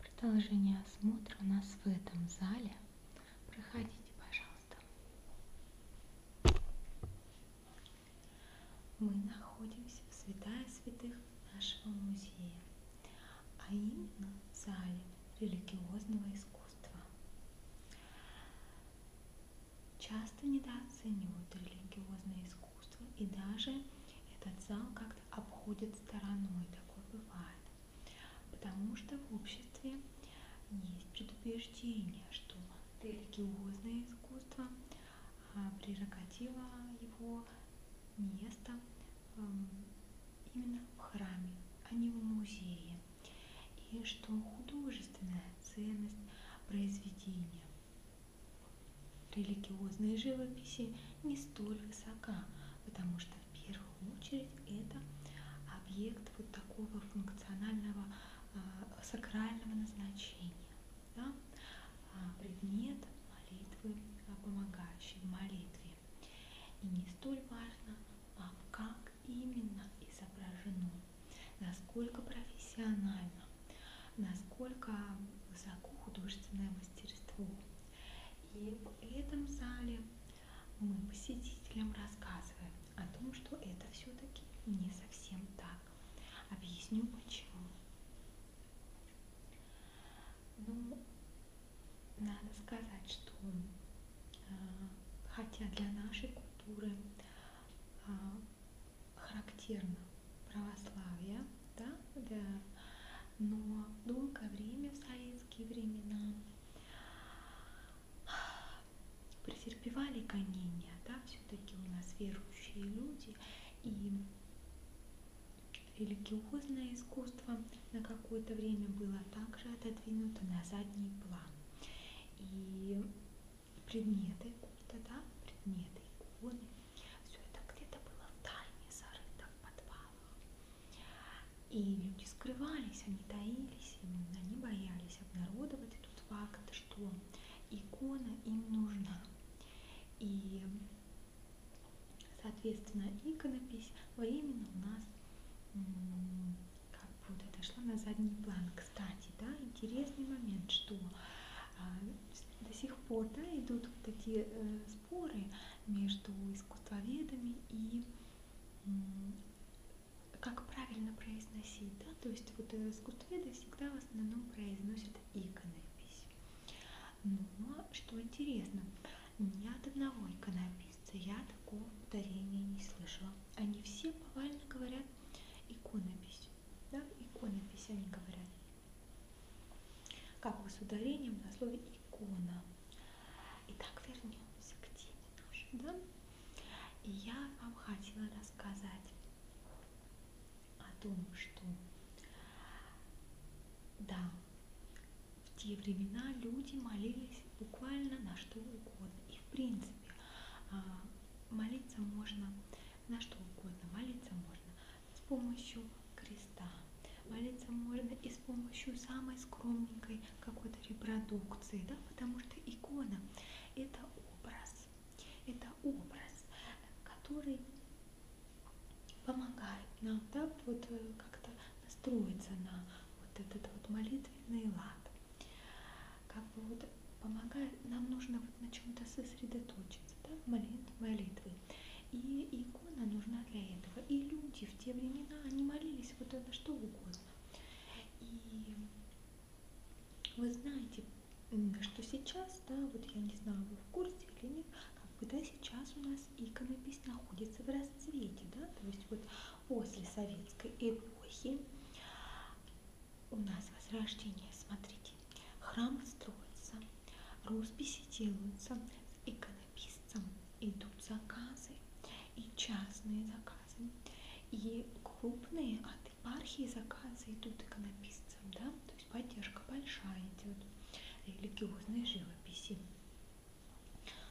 продолжение осмотра у нас в этом зале проходите пожалуйста мы находимся в святая святых нашего музея а именно в зале религиозного искусства часто недооценивают религиозное искусство искусства. И даже этот зал как-то обходит стороной, такое бывает. Потому что в обществе есть предубеждение, что религиозное искусство, а прерогатива его место эм, именно в храме, а не в музее. И что художественная ценность произведения религиозной живописи не столь высока, потому что в первую очередь это объект вот такого функционального э, сакрального назначения, да? А предмет молитвы, а, помогающий в молитве. И не столь важно, а как именно изображено, насколько профессионально насколько высоко художественное мастерство. И в этом зале мы посетителям рассказываем о том, что это все-таки не совсем так. Объясню почему. Ну, надо сказать, что э, хотя для нашей культуры э, характерно православия, да, да. но долгое время, в советские времена, претерпевали гонения, да, все-таки у нас верующие люди, и религиозное искусство на какое-то время было также отодвинуто на задний план. И предметы культа, да, предметы, иконы, все это где-то было в тайне зарыто в подвалах. И люди скрывались, они таились, они боялись обнародовать этот факт, что икона им нужна. И, соответственно, иконопись временно у нас как бы вот отошла на задний план. Кстати, да, интересный момент, что а, до сих пор да, идут вот такие э, споры между искусствоведами и как правильно произносить, да, то есть вот э, искусствоведы всегда в основном произносят иконопись. Но что интересно, ни от одного иконописца я такого повторения не слышала. Они все повально говорят иконопись, да, иконопись они говорят. Как бы с ударением на слове икона. Итак, вернемся к теме нашей, да? И я вам хотела рассказать о том, что да, в те времена люди молились буквально на что угодно. И в принципе а, молиться можно на что угодно. Молиться можно с помощью креста. Молиться можно и с помощью самой скромненькой какой-то репродукции, да, потому что икона – это образ, это образ, который помогает нам, да, вот э, как-то настроиться на вот этот вот молитвенный лад. Как бы вот помогает, нам нужно вот на чем-то сосредоточиться молитвы. И икона нужна для этого. И люди в те времена, они молились вот на что угодно. И вы знаете, что сейчас, да, вот я не знаю, вы в курсе или нет, когда сейчас у нас иконопись находится в расцвете, да, то есть вот после советской эпохи у нас возрождение, смотрите, Храмы строятся, росписи делаются, иконописцам идут заказы, и частные заказы, и крупные от епархии заказы идут иконописцам, да, то есть поддержка большая идет религиозной живописи.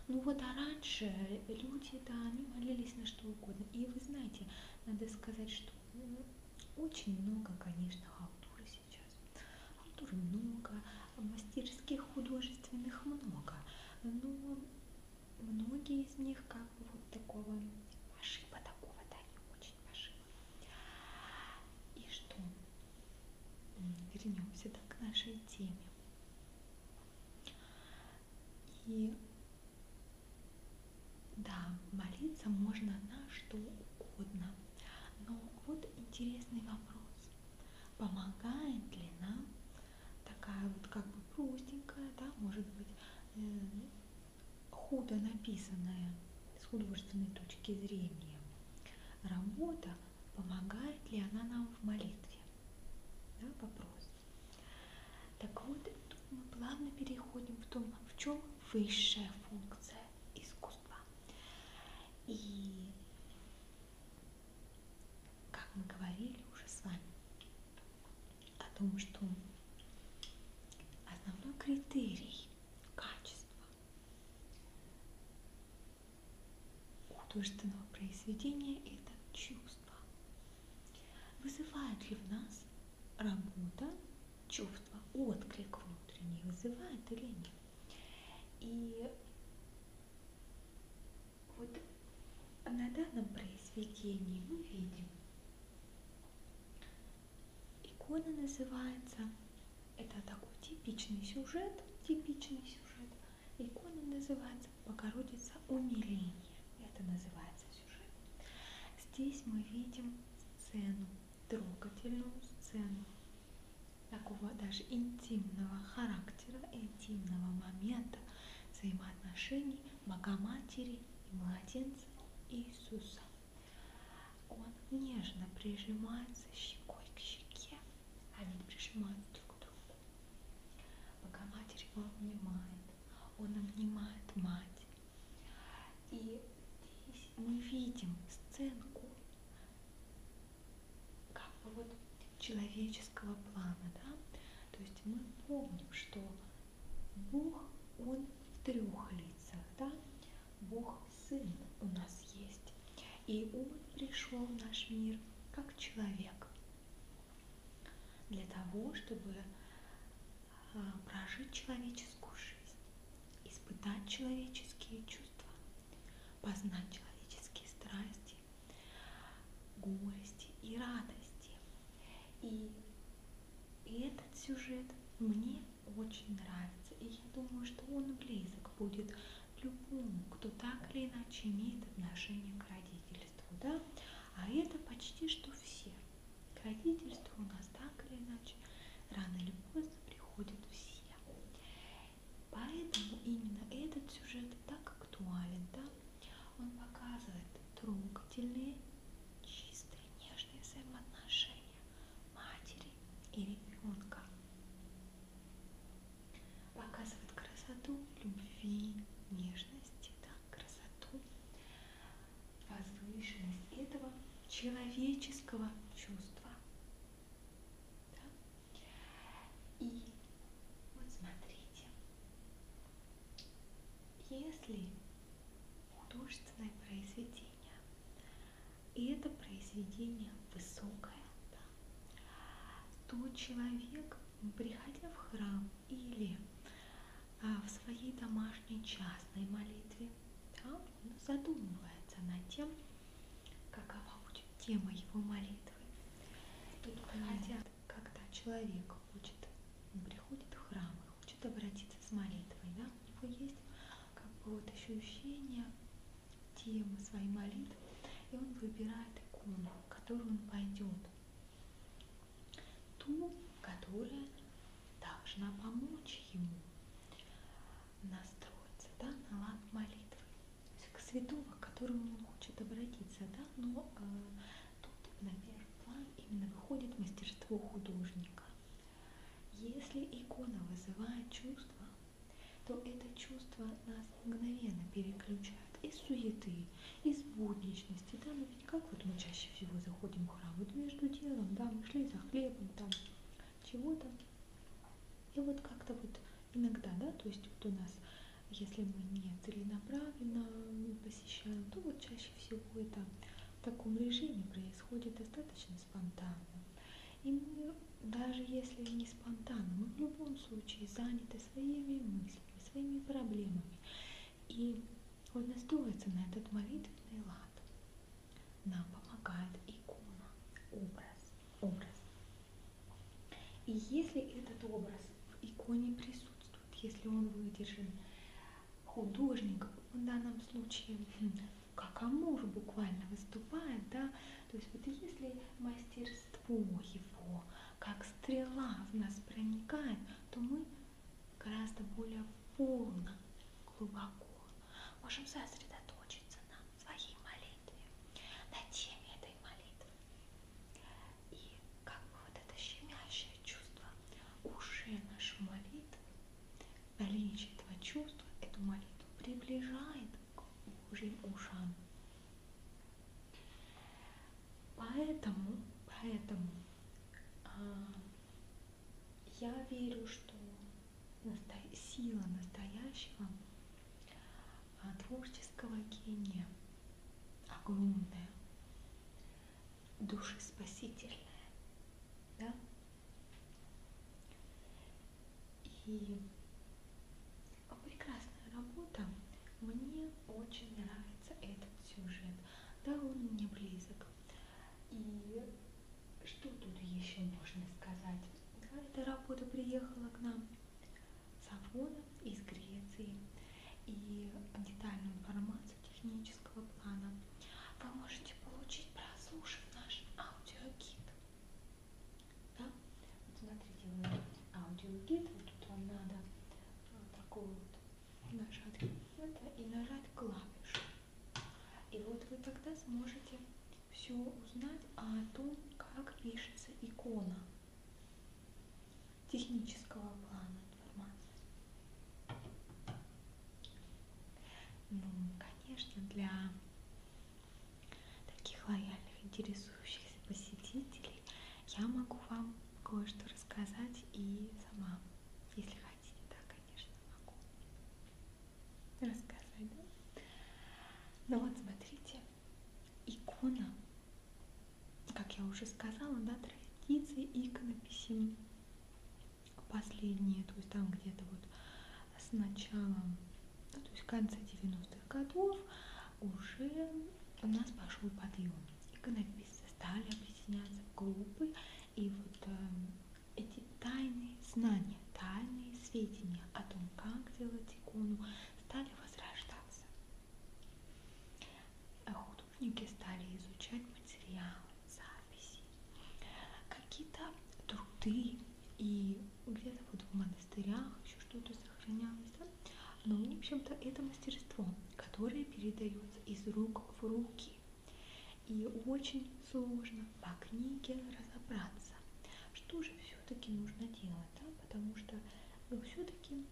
Ну вот, а раньше люди, да, они молились на что угодно. И вы знаете, надо сказать, что ну, очень много, конечно, халтуры сейчас. Автор много, мастерских художественных много, но многие из них как бы вот такого пошиба, такого, да, не очень пошиба. И что? Вернемся да, к нашей теме. И да, молиться можно на что угодно. Но вот интересный вопрос. Помогает ли нам такая вот как бы простенькая, да, может быть, э, худо написанная с художественной точки зрения работа, помогает ли она нам в молитве? Да, вопрос. Так вот, мы плавно переходим в том, в чем высшая функция искусство. И, как мы говорили уже с вами, о том, что основной критерий качества художественного произведения – это чувство. Вызывает ли в нас работа чувство, отклик внутренний, вызывает или нет? И вот на данном произведении мы видим, икона называется, это такой типичный сюжет, типичный сюжет, икона называется «Богородица умиление», это называется сюжет. Здесь мы видим сцену трогательную сцену такого даже интимного характера, интимного момента взаимоотношений Богоматери и младенца Иисуса. Он нежно прижимается щекой к щеке, они а прижимают друг к другу. Богоматерь его обнимает, он обнимает мать. И здесь мы видим сценку как бы вот человеческого плана, да? То есть мы помним, что Бог, Он в трех лицах, да? Бог Сын у нас есть. И Он пришел в наш мир как человек для того, чтобы а, прожить человеческую жизнь, испытать человеческие чувства, познать человеческие страсти, горести и радости. И, и этот сюжет мне очень нравится, и я думаю, что он близок будет любому, кто так или иначе имеет отношение к родительству. Да? А это почти что все. К родительству у нас так или иначе рано или поздно приходят все. Поэтому именно этот сюжет так актуален, да? Он показывает трогательные, чистые, нежные взаимоотношения матери и ребенка. Показывает красоту любви, нежности, да? красоту, возвышенность этого человеческого чувства. Да? И вот смотрите, если художественное произведение, и это произведение высокое, да, то человек, приходя в храм или а, в своей домашней частной молитве, да, он задумывается над тем, какова будет тема его молитвы. И хотя, когда человек хочет, он приходит в храм и хочет обратиться с молитвой, да, у него есть как бы вот ощущение темы своей молитвы, и он выбирает икону, в которую он пойдет. Ту, которая должна помочь ему настроиться да, на лад молитвы, то есть к святому, к которому он хочет обратиться, да, но э, тут на первый план именно выходит мастерство художника. Если икона вызывает чувство, то это чувство нас мгновенно переключает из суеты, из будничности. Да, мы ведь как вот мы чаще всего заходим в храм, вот между делом, да, мы шли за хлебом, там чего-то. И вот как-то вот иногда, да, то есть вот у нас, если мы не целенаправленно посещаем, то вот чаще всего это в таком режиме происходит достаточно спонтанно. И мы, даже если не спонтанно, мы в любом случае заняты своими мыслями, своими проблемами. И он настроится на этот молитвенный лад. Нам помогает икона, образ, образ. И если этот образ в иконе присутствует, если он выдержан художник, в данном случае хм, как Амур буквально выступает, да, то есть вот если мастерство его как стрела в нас проникает, то мы гораздо более полно, глубоко можем сосредоточиться на своей молитве, на теме этой молитвы. И как бы вот это щемящее чувство уже нашей молитвы, наличие этого чувства, эту молитву приближает к Божьим ушам. Поэтому, поэтому а, я верю, что сила настоящего а, творческого гения огромная, душеспасительная, да? И прекрасная работа, мне очень нравится этот сюжет, да, он мне близок. И что тут еще можно сказать? Да, эта работа приехала к нам с Афона из Греции. И детальную информацию технического плана вы можете получить, прослушав наш аудиогид. Да? Вот смотрите, у нас аудиогид, вот тут вам надо вот э, такой вот нажать это и нажать клавишу. И вот вы тогда сможете все узнать о том, как пишется икона технического плана информации. Ну, конечно, для таких лояльных, интересующихся посетителей я могу вам кое-что рассказать и сама, если хотите, да, конечно, могу рассказать, да? Ну вот, смотрите, икона, как я уже сказала, да, традиции иконописи последние, то есть там где-то вот с началом, ну, то есть в конце 90-х годов уже у нас пошел подъем. Иконописцы стали объединяться в группы, и вот эм, эти тайные знания, тайные сведения о том, как делать икону, стали возрождаться. Художники стали изучать материалы, записи, какие-то труды, и где-то вот в монастырях еще что-то сохранялось. Да? Но, ну, в общем-то, это мастерство, которое передается из рук в руки. И очень сложно по книге разобраться, что же все-таки нужно делать, да? потому что ну, все-таки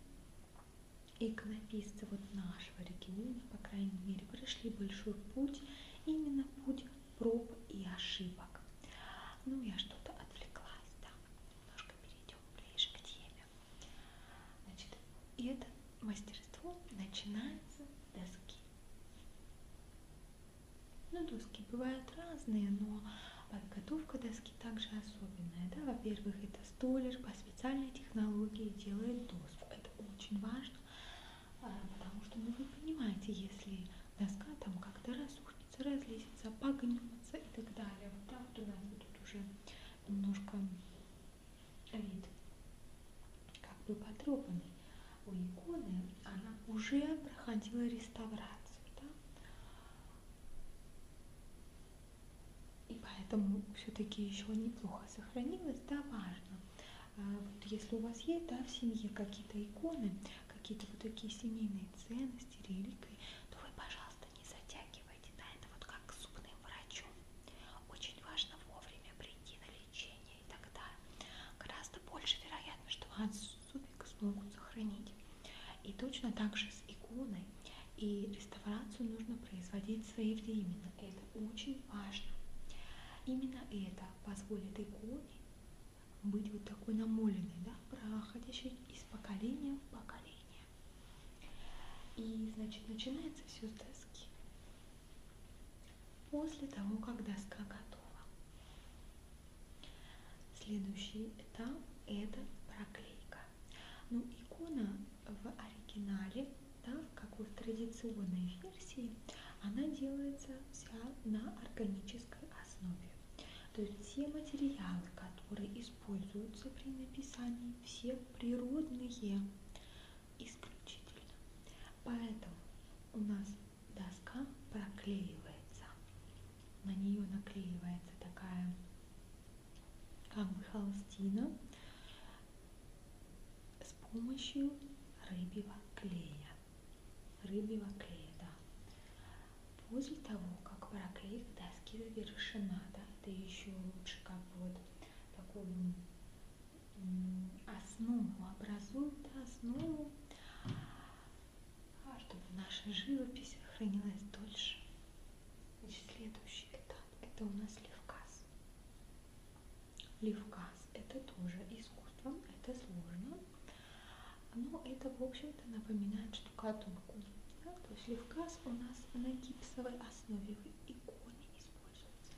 экономисты вот нашего региона, по крайней мере, прошли большой путь, именно путь проб и ошибок. Ну, я что-то отвлеклась, да, немножко перейдем ближе к теме. Значит, и это мастерство начинается с доски. Ну, доски бывают разные, но подготовка доски также особенная. Да? Во-первых, это столер по специальной технологии делает доску. Это очень важно, а, потому что ну, вы понимаете, если доска там как-то разухнется, разлезется, погнется и так далее. Вот так вот у нас будет уже немножко вид как бы потрепанный у иконы, она уже проходила реставрацию. Да? И поэтому все-таки еще неплохо сохранилась, да, важно. А вот если у вас есть да, в семье какие-то иконы, какие-то вот такие семейные ценности, реликвии, то вы, пожалуйста, не затягивайте. Да, это вот как к зубным врачу. Очень важно вовремя прийти на лечение и тогда гораздо больше вероятность, что вас супик смогут сохранить. И точно так же с иконой. И реставрацию нужно производить своевременно. Это очень важно. Именно это позволит иконе быть вот такой намоленной, да, проходящей из поколения в поколение. И, значит, начинается все с доски. После того, как доска готова, Следующий этап это проклейка. Ну, икона в оригинале, да, как и в традиционной версии, она делается вся на органической основе. То есть все материалы, которые используются при написании, все природные исключительно. Поэтому у нас доска проклеивается. На нее наклеивается такая как бы холстина с помощью рыбьего клея. Рыбьего клея, да. После того, как проклейка доски завершена, да, это еще лучше как вот такую основу образует да, основу а чтобы наша живопись хранилась дольше. Значит, следующий этап это у нас левказ. Левказ это тоже искусство, это сложно, но это, в общем-то, напоминает штукатурку. Да? То есть левказ у нас на гипсовой основе в иконе используется.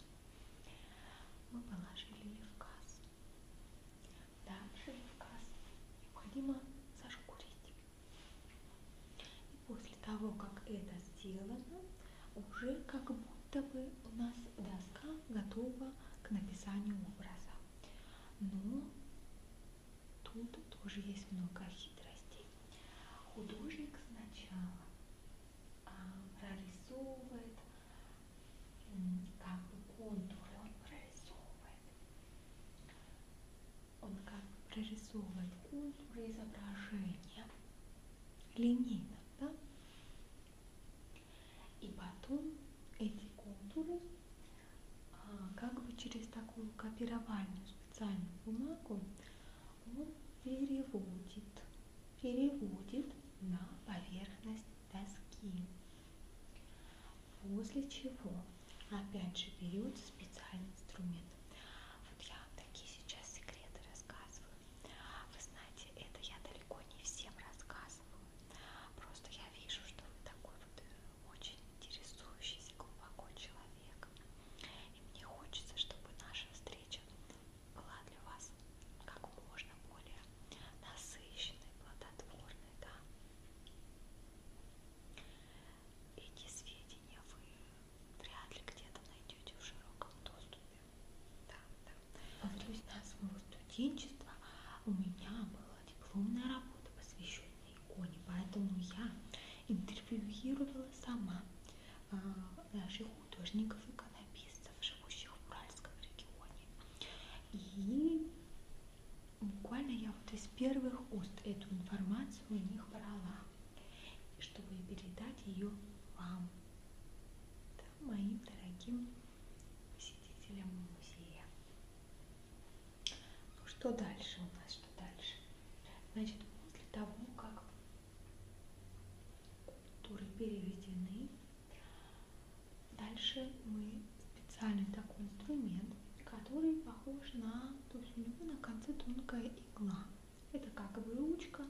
Мы положили левказ. Дальше Евказ необходимо зашкурить. И после того, как это сделано, уже как будто бы у нас доска готова к написанию образа. Но тут тоже есть много хитростей. Художник сначала а, прорисовывает как бы контуры, он прорисовывает. Он как бы прорисовывает контуры изображения линейно, да? И потом эти контуры а, как бы через такую копировальную специальную бумагу он переводит, переводит на поверхность доски. После чего опять же берется специальный инструмент. Вот я вам такие сейчас секреты рассказываю. Вы знаете, это я далеко не всем рассказываю. Просто я вижу, что вы такой вот э, очень интересующийся глубоко человек. И мне хочется, чтобы наша встреча была для вас как можно более насыщенной, плодотворной, да. Эти сведения вы вряд ли где-то найдете в широком доступе. Да, да. А в 19 моего студенчества у меня была дипломная работа, посвященная иконе, поэтому я интервьюировала сама э, наших художников-иконописцев, живущих в Уральском регионе. И буквально я вот из первых уст эту информацию у них брала, чтобы передать ее вам, да, моим дорогим посетителям музея. Ну что дальше у нас, что дальше? Значит, после того, как культуры переведены, Дальше мы специальный такой инструмент, который похож на, то есть у него на конце тонкая игла. Это как выучка,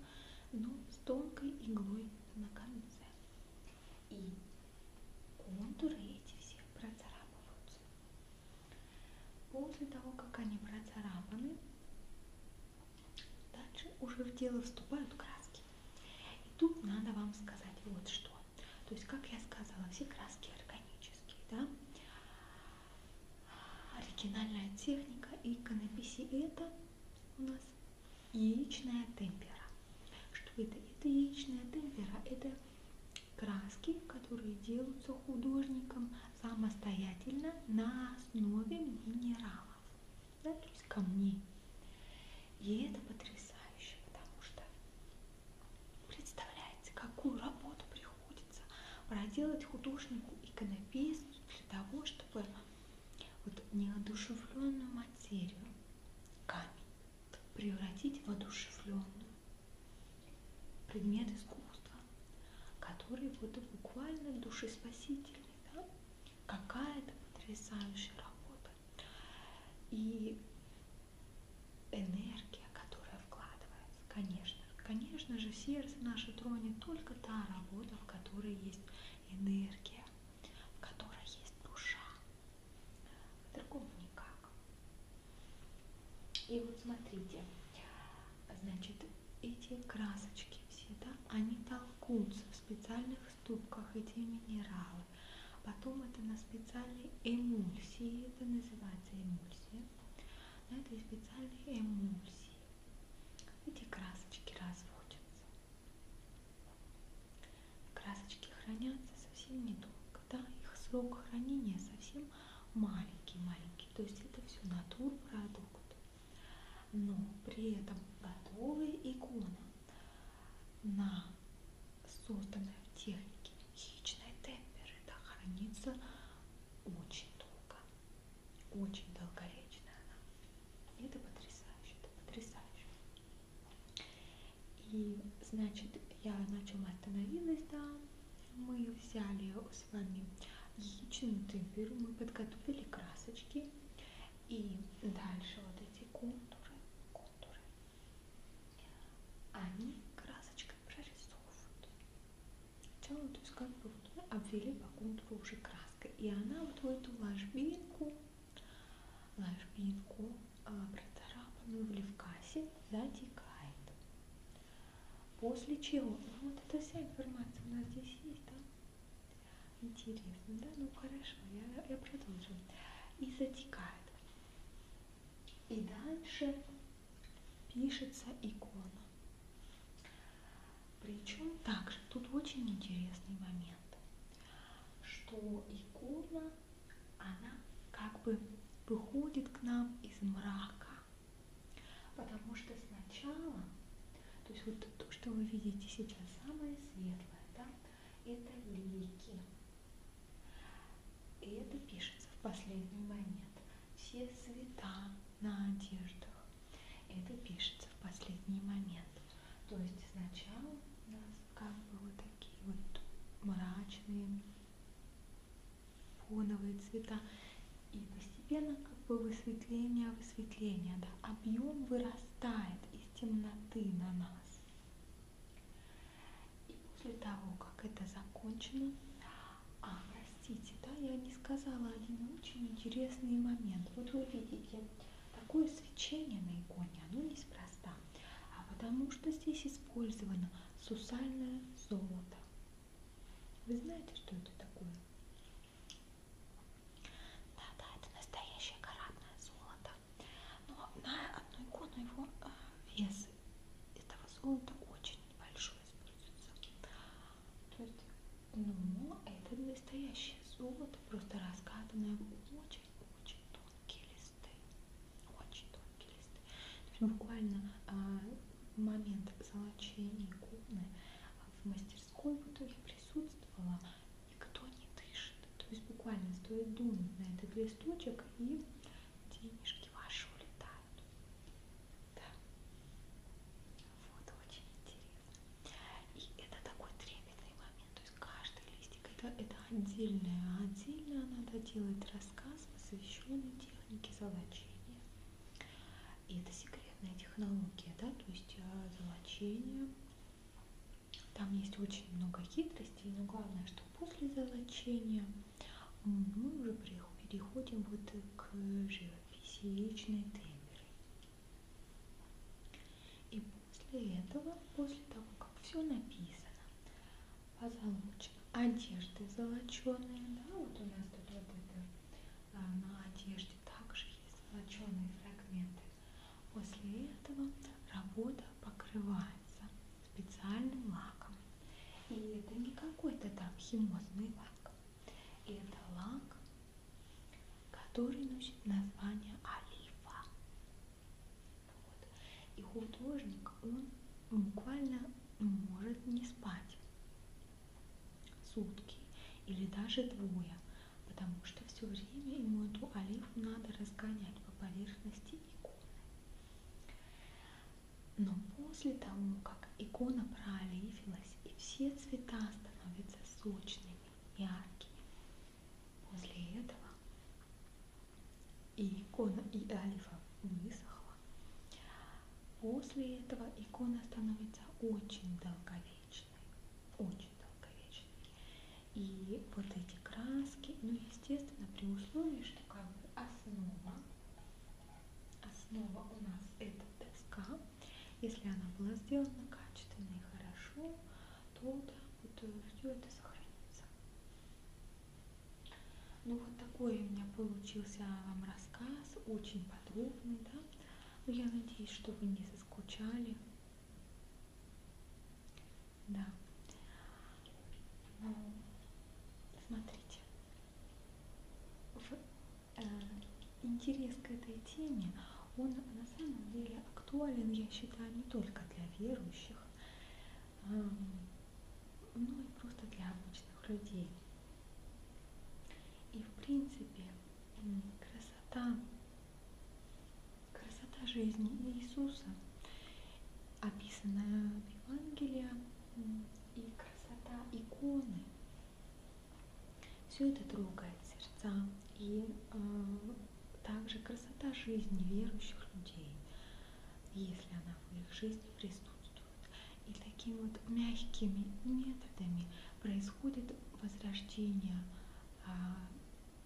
но с тонкой иглой на конце. И контуры эти все процарапываются. После того, как они процарапаны, дальше уже в дело вступают краски краски. И тут надо вам сказать вот что. То есть, как я сказала, все краски органические, да? Оригинальная техника иконописи это у нас яичная темпера. Что это? Это яичная темпера, это краски, которые делаются художником самостоятельно на основе минералов, да, то есть камней. И это потрясающе, потому что Представляете, какую работу приходится проделать художнику иконописцу для того, чтобы вот неодушевленную материю, камень, превратить в одушевленную предмет искусства, который вот буквально душеспасительный, да? какая-то потрясающая работа. И энергия, которая вкладывается, конечно, конечно же, сердце наше тронет только та работа, в которой есть энергия, в которой есть душа. По-другому никак. И вот смотрите, значит, эти красочки все, да, они толкутся в специальных ступках эти минералы. Потом это на специальной эмульсии, это называется эмульсия. На этой специальной эмульсии эти красочки разводятся. Красочки хранятся совсем недолго, да, их срок хранения совсем маленький-маленький, то есть это все натурпродукт. Но при этом готовая икона на созданная в технике яичной темперы да, хранится очень долго, очень долговечная она. И это потрясающе, это потрясающе. И, значит, я начала остановилась, да, мы взяли с вами яичную темперу, мы подготовили красочки и дальше вот эти контуры, контуры, они красочкой прорисовывают. Сначала, то есть как бы вот обвели по контуру уже краской. И она вот в эту ложбинку, ложбинку а, протарапанную в левкасе затекает. После чего, ну вот эта вся информация у нас здесь есть, да? Интересно, да? Ну хорошо, я, я продолжу. И затекает. И дальше пишется икона. Причем также тут очень интересный момент, что икона, она как бы выходит к нам из мрака. Потому что сначала, то есть вот то, что вы видите сейчас, самое светлое, да, это лики. И это пишется в последний момент. Все цвета на одеждах. Это пишется в последний момент. То есть сначала у нас как бы вот такие вот мрачные фоновые цвета. И постепенно как бы высветление, высветление, да, объем вырастает из темноты на нас. И после того, как это закончено, а, простите, да, я не сказала один очень интересный момент. Вот вы видите, такое свечение на иконе, оно неспроста, а потому что здесь использовано сусальное золото. Вы знаете, что это такое? Да, да, это настоящее каратное золото. Но на одну икону его а, вес этого золота очень большой используется. То есть, но ну, это настоящее золото, просто раскатанное в очень-очень тонкие листы. Очень тонкие листы. То есть буквально а, момент золочения иконы а, в мастерской, вот я присутствовала, никто не дышит. То есть буквально стоит думать на этот листочек и денежки ваши улетают. Да. Вот очень интересно. И это такой трепетный момент. То есть каждый листик это, это отдельное. Отдельно надо делать рассказ, посвященный технике золочения. И это секретная технология, да, то есть э, золочение там есть очень много хитростей, но главное, что после золочения мы уже переходим вот к живописи яичной темперы. И после этого, после того, как все написано, позолочено, одежды золоченые, да, вот у нас тут вот это а, на одежде также есть золоченые фрагменты. После этого работа покрывается специальным лаком. И это не какой-то там химозный лак. Это лак, который носит название олифа. Вот. И художник, он буквально может не спать сутки или даже двое, потому что все время ему эту олифу надо разгонять по поверхности иконы. Но после того, как икона пролифилась и все цвета становятся сочными, яркими, после этого и икона, и алифа высохла. После этого икона становится очень долговечной, очень долговечной. И вот эти краски, ну, естественно, при условии, что как бы основа, основа у нас это доска. Если она была сделана качественно и хорошо, то да, вот э, все это сохранится. Ну, вот такой у меня получился вам рассказ, очень подробный, да. Но ну, я надеюсь, что вы не соскучали. Да. Ну, смотрите. В, э, интерес к этой теме, он на самом деле актуален, я считаю, не только для верующих, э, но и просто для обычных людей. И в принципе красота красота жизни Иисуса, описанная в Евангелии, и красота иконы. Все это трогает сердца. И э, также красота жизни верующих людей, если она в их жизни присутствует. И такими вот мягкими методами происходит возрождение э,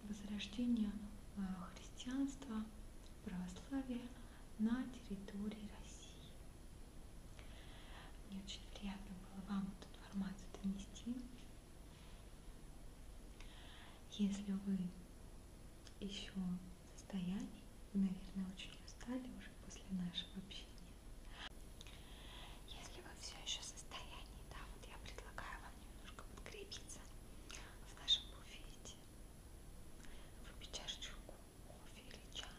возрождения э, христианства, православия на территории России. Мне очень приятно было вам эту информацию донести. Если вы еще в состоянии, вы, наверное, очень устали уже после нашего общения, в нашем буфете кровати, выпить чашечку кофе или чая.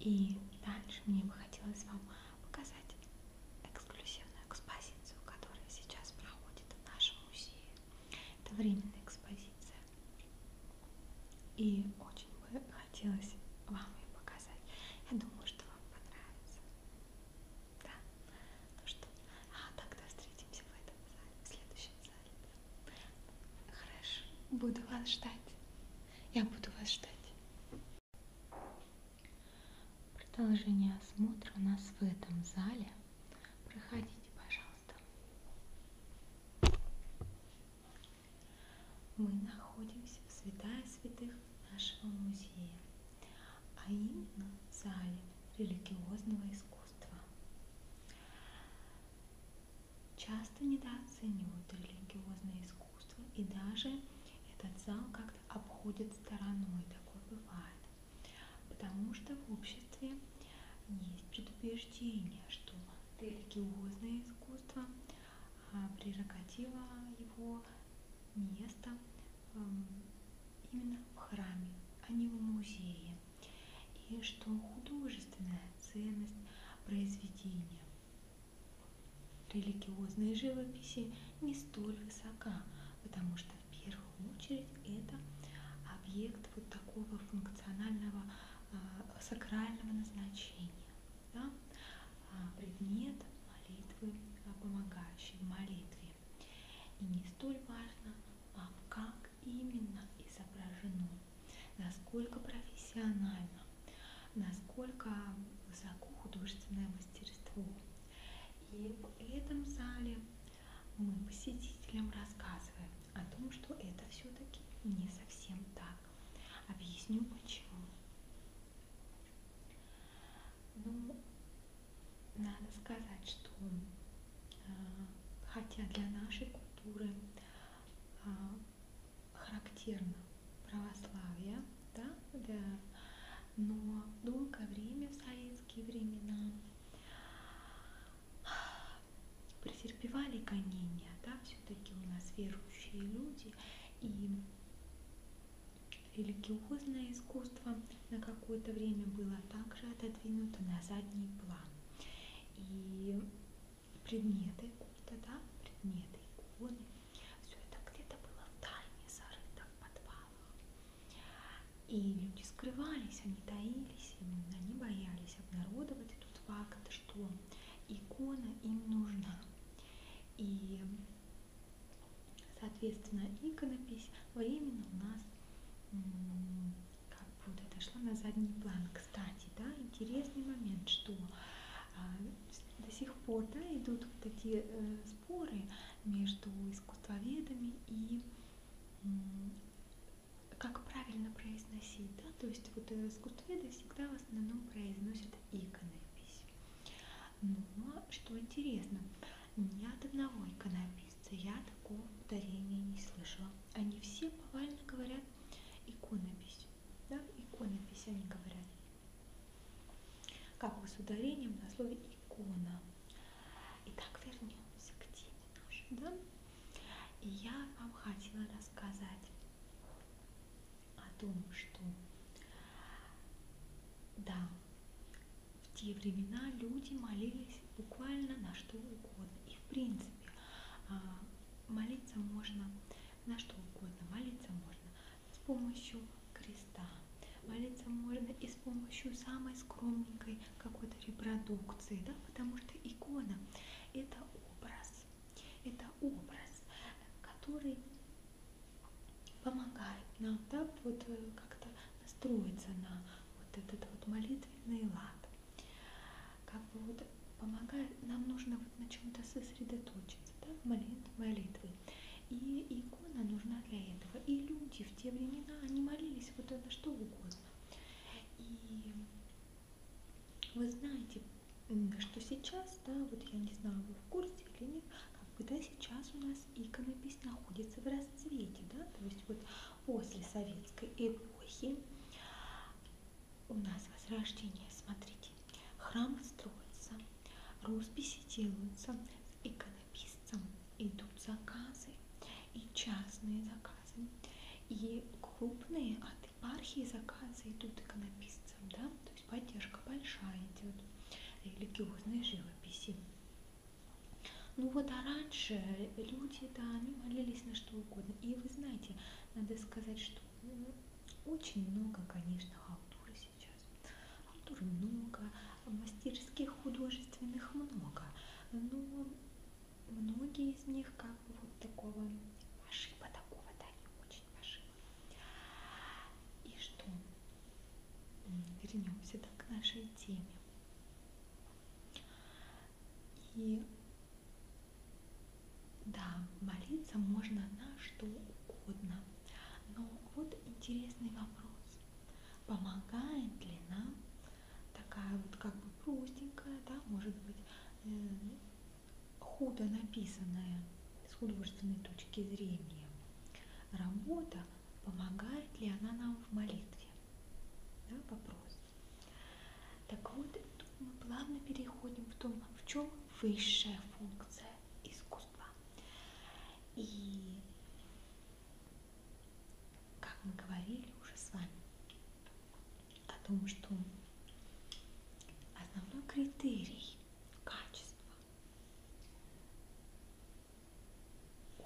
И дальше мне бы хотелось вам показать эксклюзивную экспозицию, которая сейчас проходит в нашем музее. Это временная экспозиция. И очень бы хотелось вам ее показать. Я думаю, что вам понравится. Да? Ну что? А, тогда встретимся в этом зале, в следующем зале. Хорошо. Буду вас ждать. Я буду вас ждать. Продолжение осмотра у нас в этом зале. Проходите, пожалуйста. Мы находимся в святая святых нашего музея, а именно в зале религиозного искусства искусства. Часто недооценивают религиозное искусство и даже этот зал как-то обходит стороной, такое бывает. Потому что в обществе есть предубеждение, что религиозное искусство, а прерогатива его место эм, именно в храме, а не в музее. И что художественная ценность произведения религиозной живописи не столь высока, потому что в первую очередь это объект вот такого функционального э, сакрального назначения, да? А предмет молитвы, помогающий в молитве. И не столь важно, а как именно изображено, насколько профессионально, насколько высоко художественное мастерство. И в этом зале мы посетителям рассказываем о том, что это все-таки не совсем так. Объясню почему. Ну, надо сказать, что а, хотя для нашей культуры а, характерно православие, да, да, но долгое время, в советские времена, претерпевали гонения, да, все-таки у нас верующие люди, и религиозное искусство на какое-то время было также отодвинуто на задний план. И предметы культа, да, предметы, иконы, все это где-то было в тайне зарыто в подвалах. И люди скрывались, они таились, они боялись обнародовать этот факт, что икона им нужна. И, соответственно, иконопись временно у нас как будто отошла на задний план. Кстати, да, интересный момент, что а, до сих пор да, идут вот такие э, споры между искусствоведами и как правильно произносить, да, то есть вот э, искусствоведы всегда в основном произносят иконопись. Но ну, а что интересно, ни от одного иконописа кажется, я такого ударения не слышала. Они все повально говорят иконопись. Да, иконопись они говорят. Как бы с ударением на слове икона. Итак, вернемся к теме нашей, да? И я вам хотела рассказать о том, что да, в те времена люди молились буквально на что угодно. И в принципе а, молиться можно на что угодно. Молиться можно с помощью креста. Молиться можно и с помощью самой скромненькой какой-то репродукции, да, потому что икона – это образ, это образ, который помогает нам, да, вот э, как-то настроиться на вот этот вот молитвенный лад. Как бы вот помогает, нам нужно вот на чем-то сосредоточиться, да, молитв, молитвы. И икона нужна для этого. И люди в те времена, они молились вот на что угодно. И вы знаете, что сейчас, да, вот я не знаю, вы в курсе или нет, как бы, да, сейчас у нас иконопись находится в расцвете, да, то есть вот после советской эпохи у нас возрождение, смотрите, храмы строятся, росписи делаются, с иконописцем идут заказы, и частные заказы, и крупные от епархии заказы идут иконописцам, да, то есть поддержка большая идет, религиозной живописи. Ну вот, а раньше люди, да, они молились на что угодно. И вы знаете, надо сказать, что ну, очень много, конечно, халтуры сейчас. Халтуры много, а мастерских художественных много. Но многие из них как бы вот такого ошиба такого, да, не очень ошиба. И что? Вернемся да, к нашей теме. И да, молиться можно на что угодно. Но вот интересный вопрос. Помогает ли нам такая вот как бы простенькая, да, может быть, э, худо написанная с художественной точки зрения работа, помогает ли она нам в молитве? да, вопрос. Так вот, тут мы плавно переходим в том, в чем высшая функция искусства. И, как мы говорили уже с вами, о том, что основной критерий качества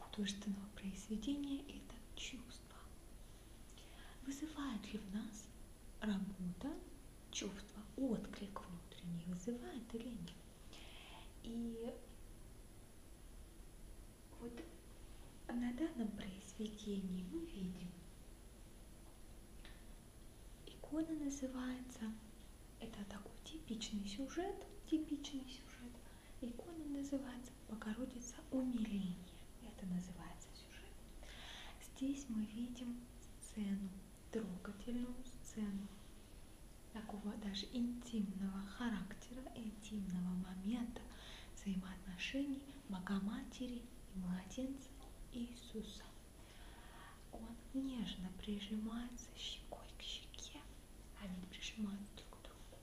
художественного произведения – это чувство. Вызывает ли в нас работа чувства, отклик внутренний, вызывает или нет? И вот на данном произведении мы видим, икона называется, это такой типичный сюжет, типичный сюжет – Икона называется «Богородица умиление». Это называется сюжет. Здесь мы видим сцену, трогательную сцену такого даже интимного характера, интимного момента взаимоотношений Богоматери и младенца Иисуса. Он нежно прижимается щекой к щеке, они а прижимаются друг к другу.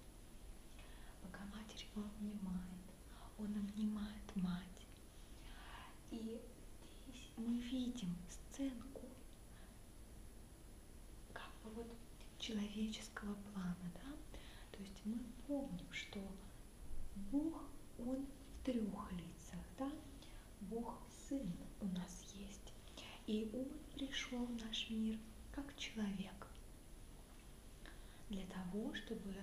Пока матерь его обнимает, он обнимает мать. И здесь мы видим сценку как бы вот человеческого плана, да? То есть мы помним, что Бог, Он в трех лицах, да? Бог Сын у нас есть. И Он пришел в наш мир как человек для того, чтобы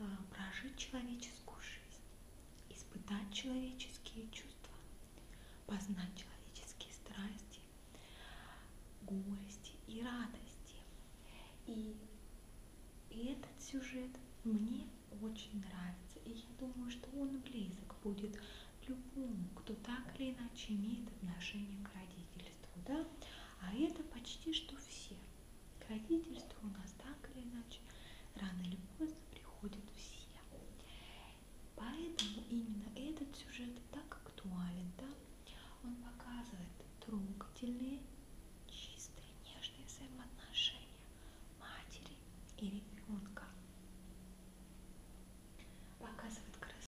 а, прожить человеческую жизнь, испытать человеческие чувства, познать человеческие страсти, горести и радости. И, и этот сюжет мне очень нравится, и я думаю, что он близок будет любому, кто так или иначе имеет отношение к родителям родительству, да, а это почти что все. К родительству у нас так или иначе рано или поздно приходят все. Поэтому именно этот сюжет так актуален, да, он показывает трогательные, чистые, нежные взаимоотношения матери и ребенка. Показывает красоту